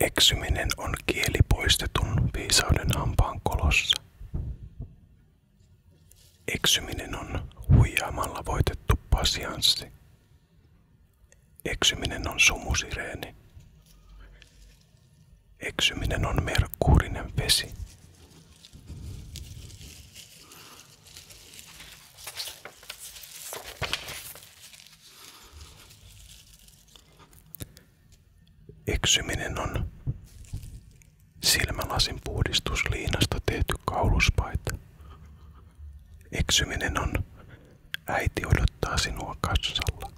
Eksyminen on kieli poistetun viisauden hampaan kolossa. Eksyminen on huijaamalla voitettu pasianssi. Eksyminen on sumusireeni. Eksyminen on merkuurinen vesi. Eksyminen on silmälasin puhdistusliinasta tehty kauluspaita. Eksyminen on äiti odottaa sinua kassalla.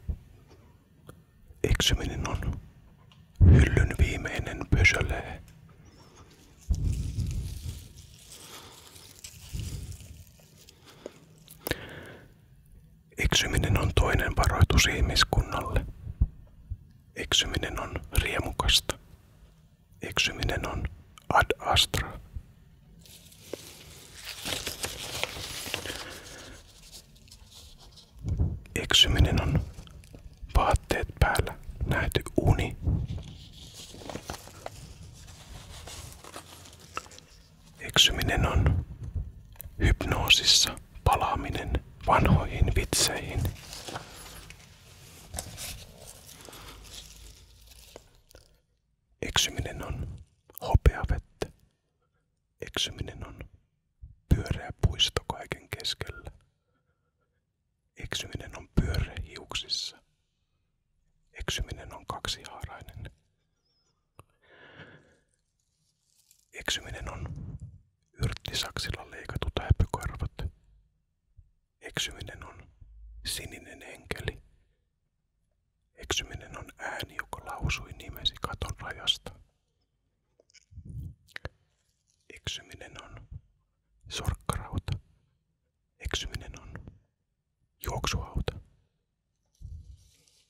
Eksyminen on hyllyn viimeinen pösölee. Eksyminen on toinen varoitus ihmiskunnalle. Eksyminen on riemukasta. Eksyminen on ad astra. Eksyminen on vaatteet päällä nähty uni. Eksyminen on hypnoosissa palaaminen vanhoihin vitseihin. Eksyminen on hopeavettä. Eksyminen on pyöreä puisto kaiken keskellä. Eksyminen on pyöreä hiuksissa. Eksyminen on kaksihaarainen. Eksyminen on yrttisaksilla leikatut häpykarvat. Eksyminen on sininen enkeli. Eksyminen on ääni, joka lausui nimesi katon rajasta. Eksyminen on sorkkarauta. Eksyminen on juoksuhauta.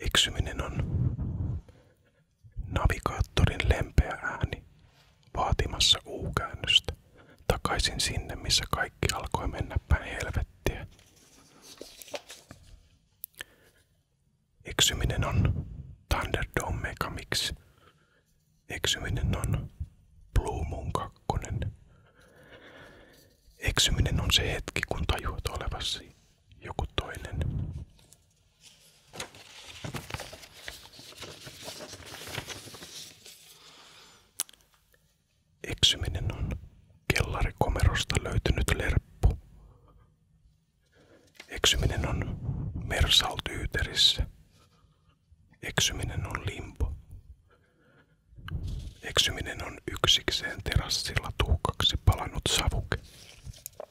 Eksyminen on navigaattorin lempeä ääni vaatimassa uukäännöstä takaisin sinne, missä kaikki alkoi mennä päin helvettiä. Eksyminen on Thunderdome Megamix. Eksyminen on Blue Moon 2. Eksyminen on se hetki, kun tajuat olevasi joku toinen. Eksyminen on kellarikomerosta löytynyt lerppu. Eksyminen on mersaltyyterissä. Eksyminen on limpo. Eksyminen on yksikseen terassilla tuhkaksi palanut savuke.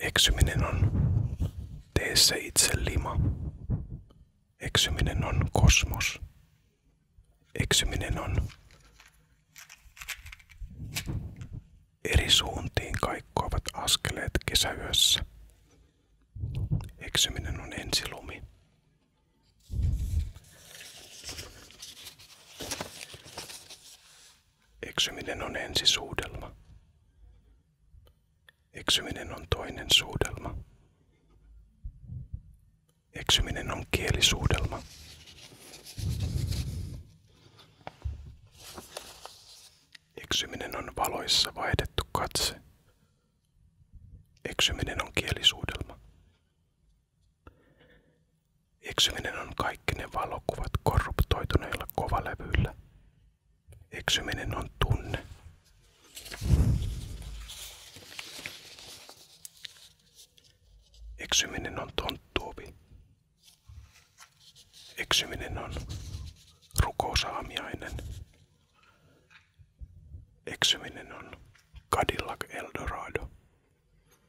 Eksyminen on teessä itse lima. Eksyminen on kosmos. Eksyminen on eri suuntiin kaikkoavat askeleet kesäyössä. Eksyminen on ensilumi. Eksyminen on ensi-suudelma. Eksyminen on toinen suudelma. Eksyminen on kielisuudelma. Eksyminen on valoissa vaihdettu katse. Eksyminen on kielisuudelma. Eksyminen on kaikki ne valokuvat korruptoituneilla kovalevyillä. Eksyminen on tunne. Eksyminen on tonttuovi. Eksyminen on rukousaamiainen. Eksyminen on Cadillac Eldorado.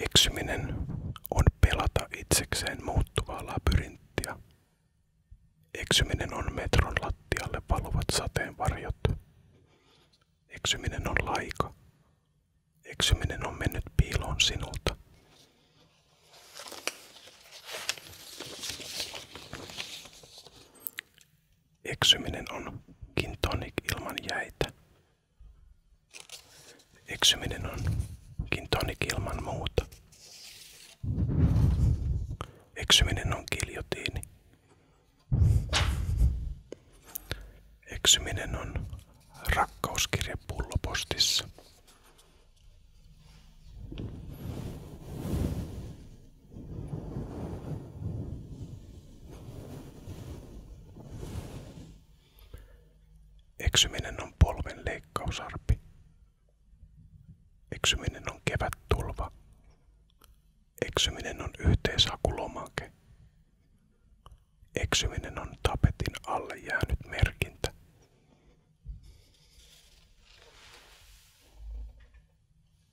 Eksyminen on pelata itsekseen muuttuvaa labyrinttiä. Eksyminen on metron lattialle valuvat varjot. Eksyminen on laika. Eksyminen on mennyt piiloon sinulta. Eksyminen on kintonik ilman jäitä. Eksyminen on kintonik ilman muuta. Eksyminen on kiljotiini. Eksyminen on rakkauskirje pullopostissa. Eksyminen on polven leikkausarpi. Eksyminen on kevät tulva. Eksyminen on yhteisakulomake. Eksyminen on tapetin alle jäänyt merkintä.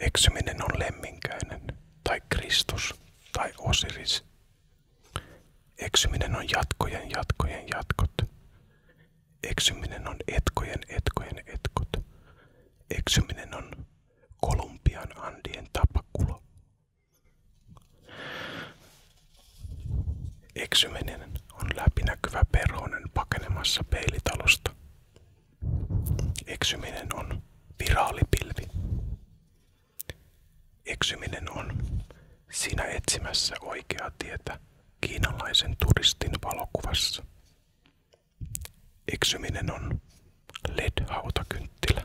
Eksyminen on lemminkäinen, tai Kristus, tai Osiris. Eksyminen on jatkojen jatkojen jatkot. Eksyminen on etkojen etkojen etkot. Eksyminen on Kolumbian Andien tapakulo. Eksyminen on läpinäkyvä perhonen pakenemassa peilitalosta. Eksyminen on viraalipilvi. Eksyminen on sinä etsimässä oikeaa tietä kiinalaisen turistin valokuvassa. Eksyminen on LED-hautakynttilä.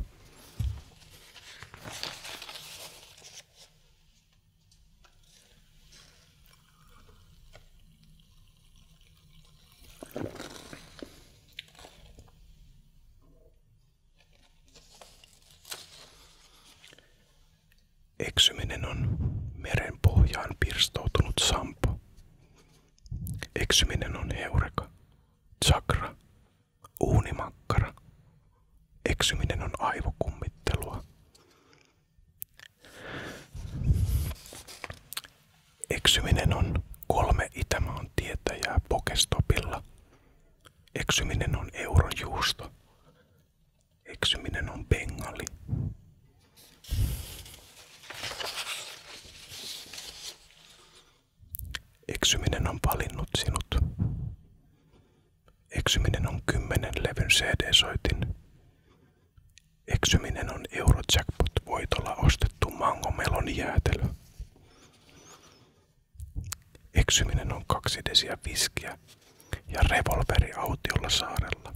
Eksyminen on meren pohjaan pirstoutunut sampo, Eksyminen on heureka, chakra, uunimakkara. Eksyminen on aivokummittelua. Eksyminen on kolme Itämaan tietäjää pokestopilla. Eksyminen on Eurojuusto. Eksyminen on bengali. Eksyminen on valinnut sinut. Eksyminen on kymmenen levyn CD-soitin. Eksyminen on Eurojackpot-voitolla ostettu mangomelon jäätelö. Eksyminen on kaksi desiä viskiä ja revolveri autiolla saarella.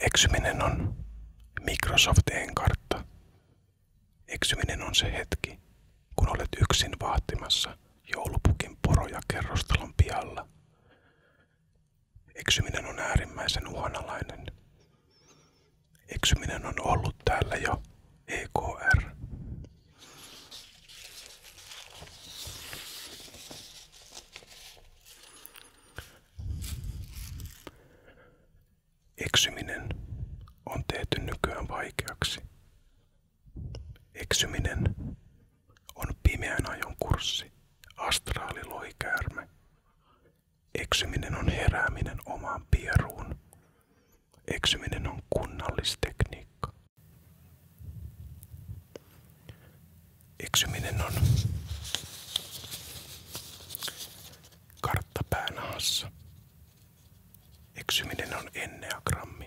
Eksyminen on Microsoftin kartta. Eksyminen on se hetki, kun olet yksin vahtimassa joulupukin poroja kerrostalon pihalla. Eksyminen on äärimmäisen uhanalainen. Eksyminen on ollut täällä jo EKR. Eksyminen on tehty nykyään vaikeaksi. Eksyminen on pimeän ajon kurssi, Astraali astraaliloikäärme. Eksyminen on herääminen omaan pieruun. Eksyminen on kunnallistekniikka. Eksyminen on kartta päänahassa. Eksyminen on enneagrammi.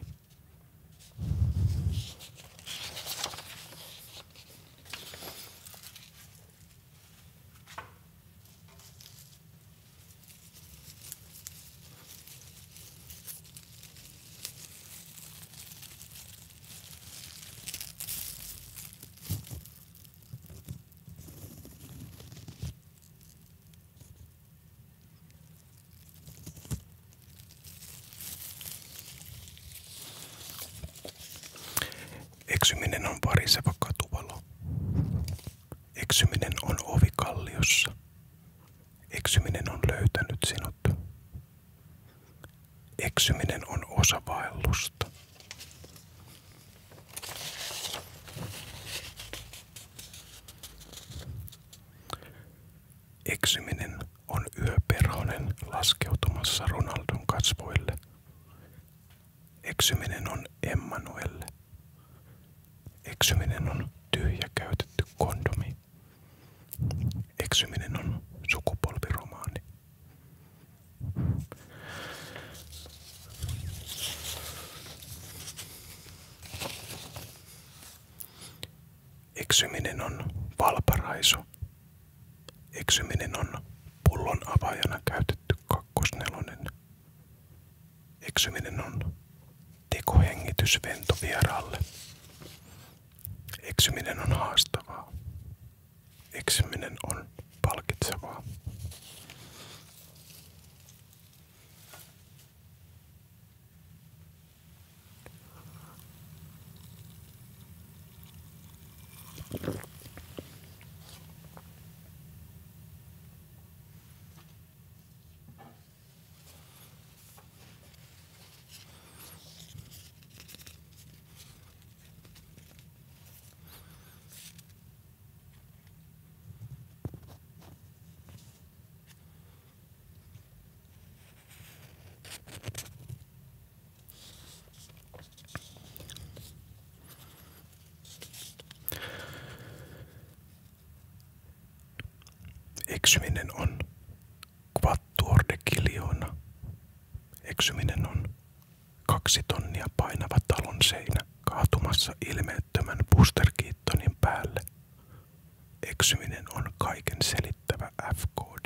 Eksyminen on variseva katuvalo. Eksyminen on ovi kalliossa. Eksyminen on löytänyt sinut. Eksyminen on osa vaellusta. Eksyminen on yöperhonen laskeutumassa Ronaldon kasvoille. Eksyminen on Emmanuelle. Eksyminen on tyhjä käytetty kondomi. Eksyminen on sukupolviromaani. Eksyminen on valparaisu. Eksyminen on pullon avaajana käytetty kakkosnelonen. Eksyminen on tekohengitysvento vieraalle. Eksyminen on haastavaa. Eksyminen on palkitsevaa. Eksyminen on quattuorde kiljoona. Eksyminen on kaksi tonnia painava talon seinä kaatumassa ilmeettömän pusterkiittonin päälle. Eksyminen on kaiken selittävä F-koodi.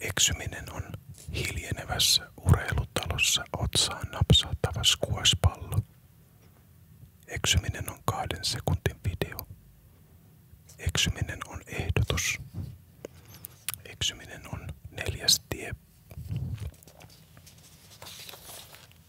Eksyminen on hiljenevässä urheilutalossa otsaan napsahtava skuaspallo. Eksyminen on kahden sekuntin video. Eksyminen on ehdotus. Eksyminen on neljäs tie.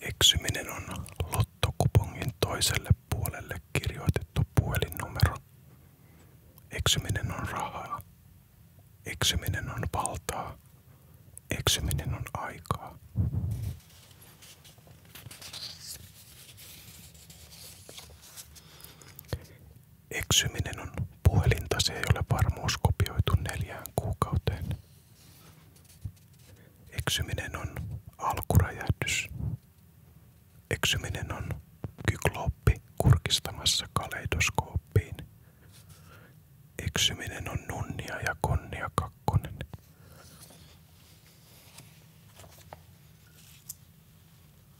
Eksyminen on lottokupongin toiselle puolelle kirjoitettu puhelinnumero. Eksyminen on rahaa. Eksyminen on valtaa. Eksyminen on aikaa. Eksyminen on puhelintasi ei ole varmuus kopioitu neljään kuukauteen. Eksyminen on alkuräjähdys. Eksyminen on kyklooppi kurkistamassa kaleidoskooppiin. Eksyminen on nunnia ja konnia kakkonen.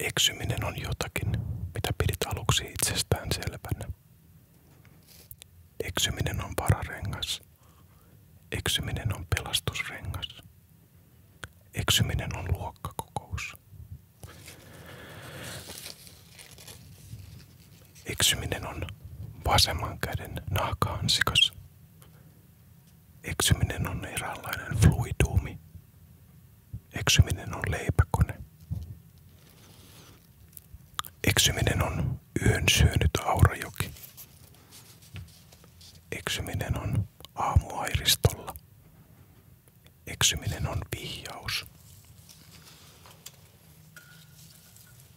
Eksyminen on jotakin, mitä pidit aluksi itsestään selvänä. Eksyminen on vararengas. Eksyminen on pelastusrengas. Eksyminen on luokkakokous. Eksyminen on vasemman käden nahkaansikos. Eksyminen on eräänlainen fluiduumi. Eksyminen on leipäkone. Eksyminen on yön syönyt aurajoki. Eksyminen on aamuairistolla. Eksyminen on vihjaus.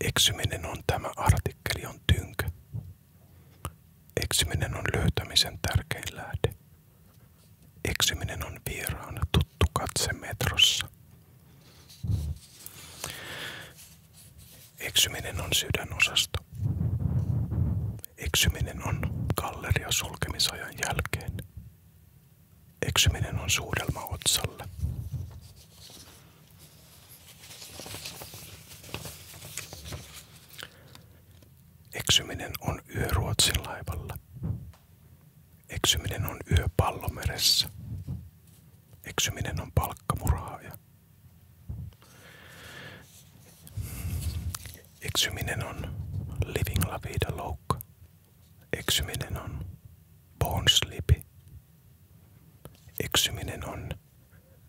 Eksyminen on tämä artikkeli on tynkö. Eksyminen on löytämisen tärkein lähde. Eksyminen on vieraana tuttu katse metrossa. Eksyminen on sydänosasto. Eksyminen on galleria sulkemisajan jälkeen. Eksyminen on suudelma otsalle. Eksyminen on yö Ruotsin laivalla. Eksyminen on yö pallomeressä. Eksyminen on palkkamurhaaja. Eksyminen on living la vida loukka. Eksyminen on born sleepy. Eksyminen on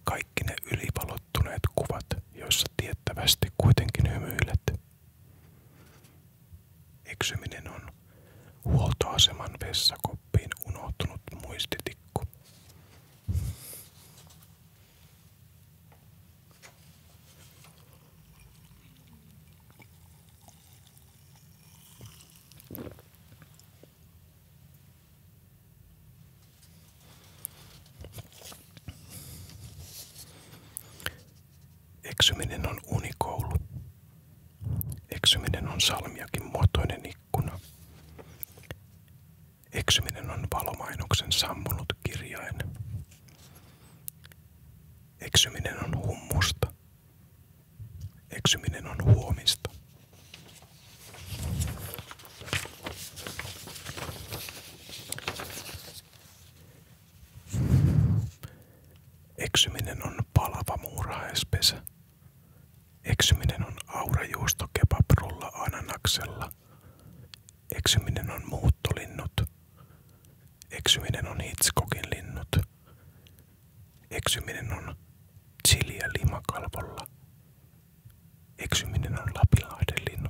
kaikki ne ylipalottuneet kuvat, joissa tiettävästi kuitenkin hymyilet. Eksyminen on huoltoaseman vessakoppiin unohtunut muistitikku. Eksyminen on unikoulu. Eksyminen on salmiakin muotoinen ikkuna. Eksyminen on valomainoksen sammunut kirjain. Eksyminen on hummusta. Eksyminen on huomista. Eksyminen on palava muurahaispesä. Eksyminen on aurajuusto kebabrulla ananaksella. Eksyminen on muuttolinnut. Eksyminen on Hitchcockin linnut. Eksyminen on chiliä limakalvolla. Eksyminen on Lapinlahden linnut.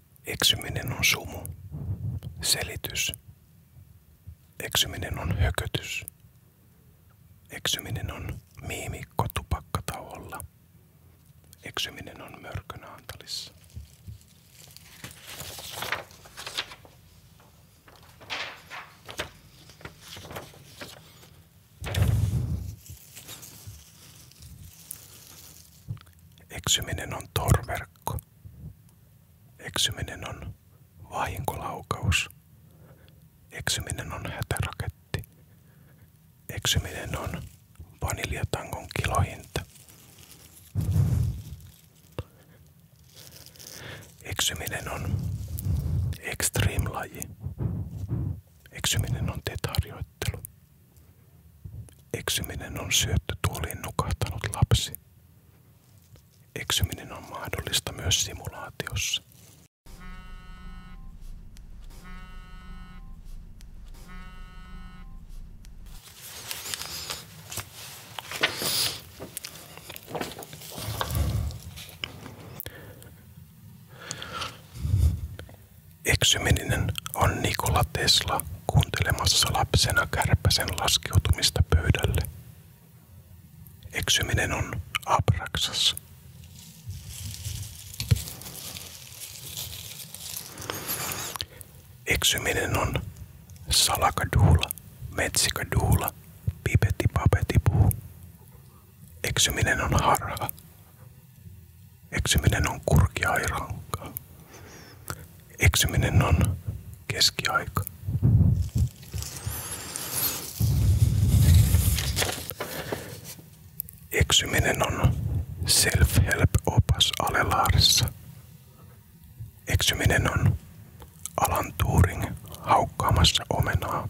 Eksyminen on sumu. Selitys. Eksyminen on hökötys. Eksyminen on miimikko tupakkatauolla. Eksyminen on mörkönä antalissa. Eksyminen on torverkko. Eksyminen on vahinkolaukaus. Eksyminen on hätäraketti. Eksyminen on vaniljatangon kilohinta. Eksyminen on extreme-laji. Eksyminen on teet harjoittelu. Eksyminen on syöttö, syöttötuoliin nukahtanut lapsi. Eksyminen on mahdollista myös simulaatiossa. Eksyminen on Nikola Tesla kuuntelemassa lapsena kärpäsen laskeutumista pöydälle. Eksyminen on abraksas. Eksyminen on salakaduula, metsikäduula, pipeti papeti puu. Eksyminen on harha. Eksyminen on kurkia ja rankkaa. Eksyminen on keskiaika. Eksyminen on self-help-opas alelaarissa. Eksyminen on Alan Turing haukkaamassa omenaa.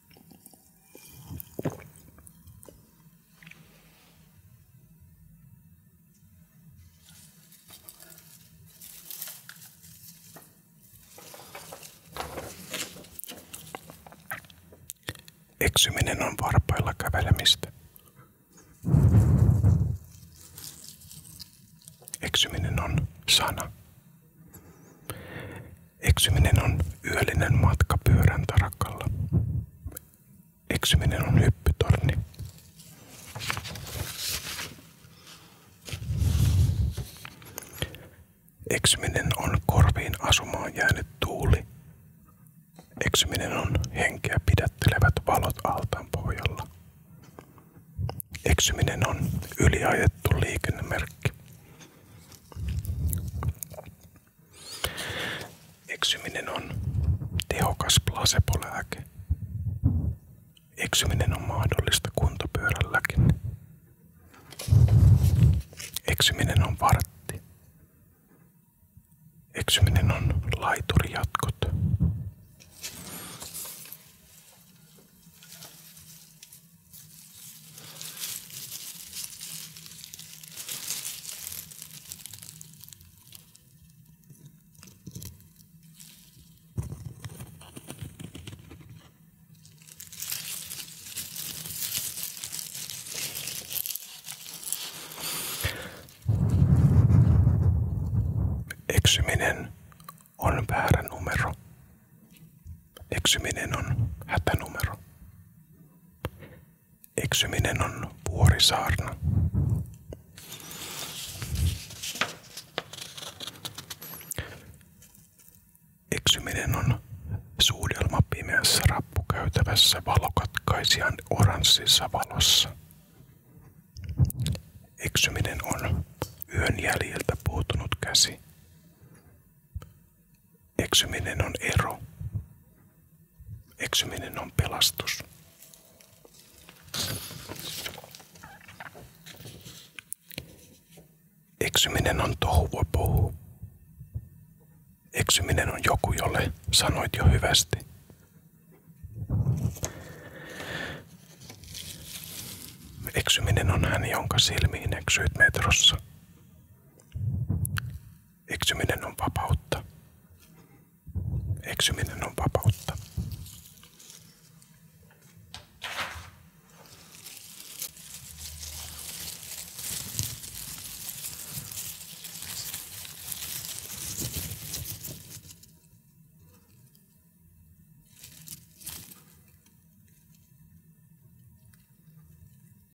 Eksyminen on varpailla kävelemistä. Eksyminen on sana. Eksyminen on yöllinen matka pyörän tarakalla. Eksyminen on hyppytorni. Eksyminen on korviin asumaan jäänyt tuuli. Eksyminen on henkeä pidättelevät valot altaan pohjalla. Eksyminen on yliajettu liikennemerkki. Eksyminen on tehokas placebo-lääke. Eksyminen on mahdollista kuntopyörälläkin. Eksyminen on vartti. Eksyminen on laiturijatkot. Eksyminen on väärä numero. Eksyminen on hätänumero. Eksyminen on vuorisaarna. Eksyminen on suudelma pimeässä rappukäytävässä valokatkaisijan oranssissa valossa. Eksyminen on yön jäljiltä puutunut käsi. Eksyminen on ero. Eksyminen on pelastus. Eksyminen on tohuvapohu. Eksyminen on joku, jolle sanoit jo hyvästi. Eksyminen on hän, jonka silmiin eksyit metrossa. Eksyminen on vapautta. Eksyminen on vapautta.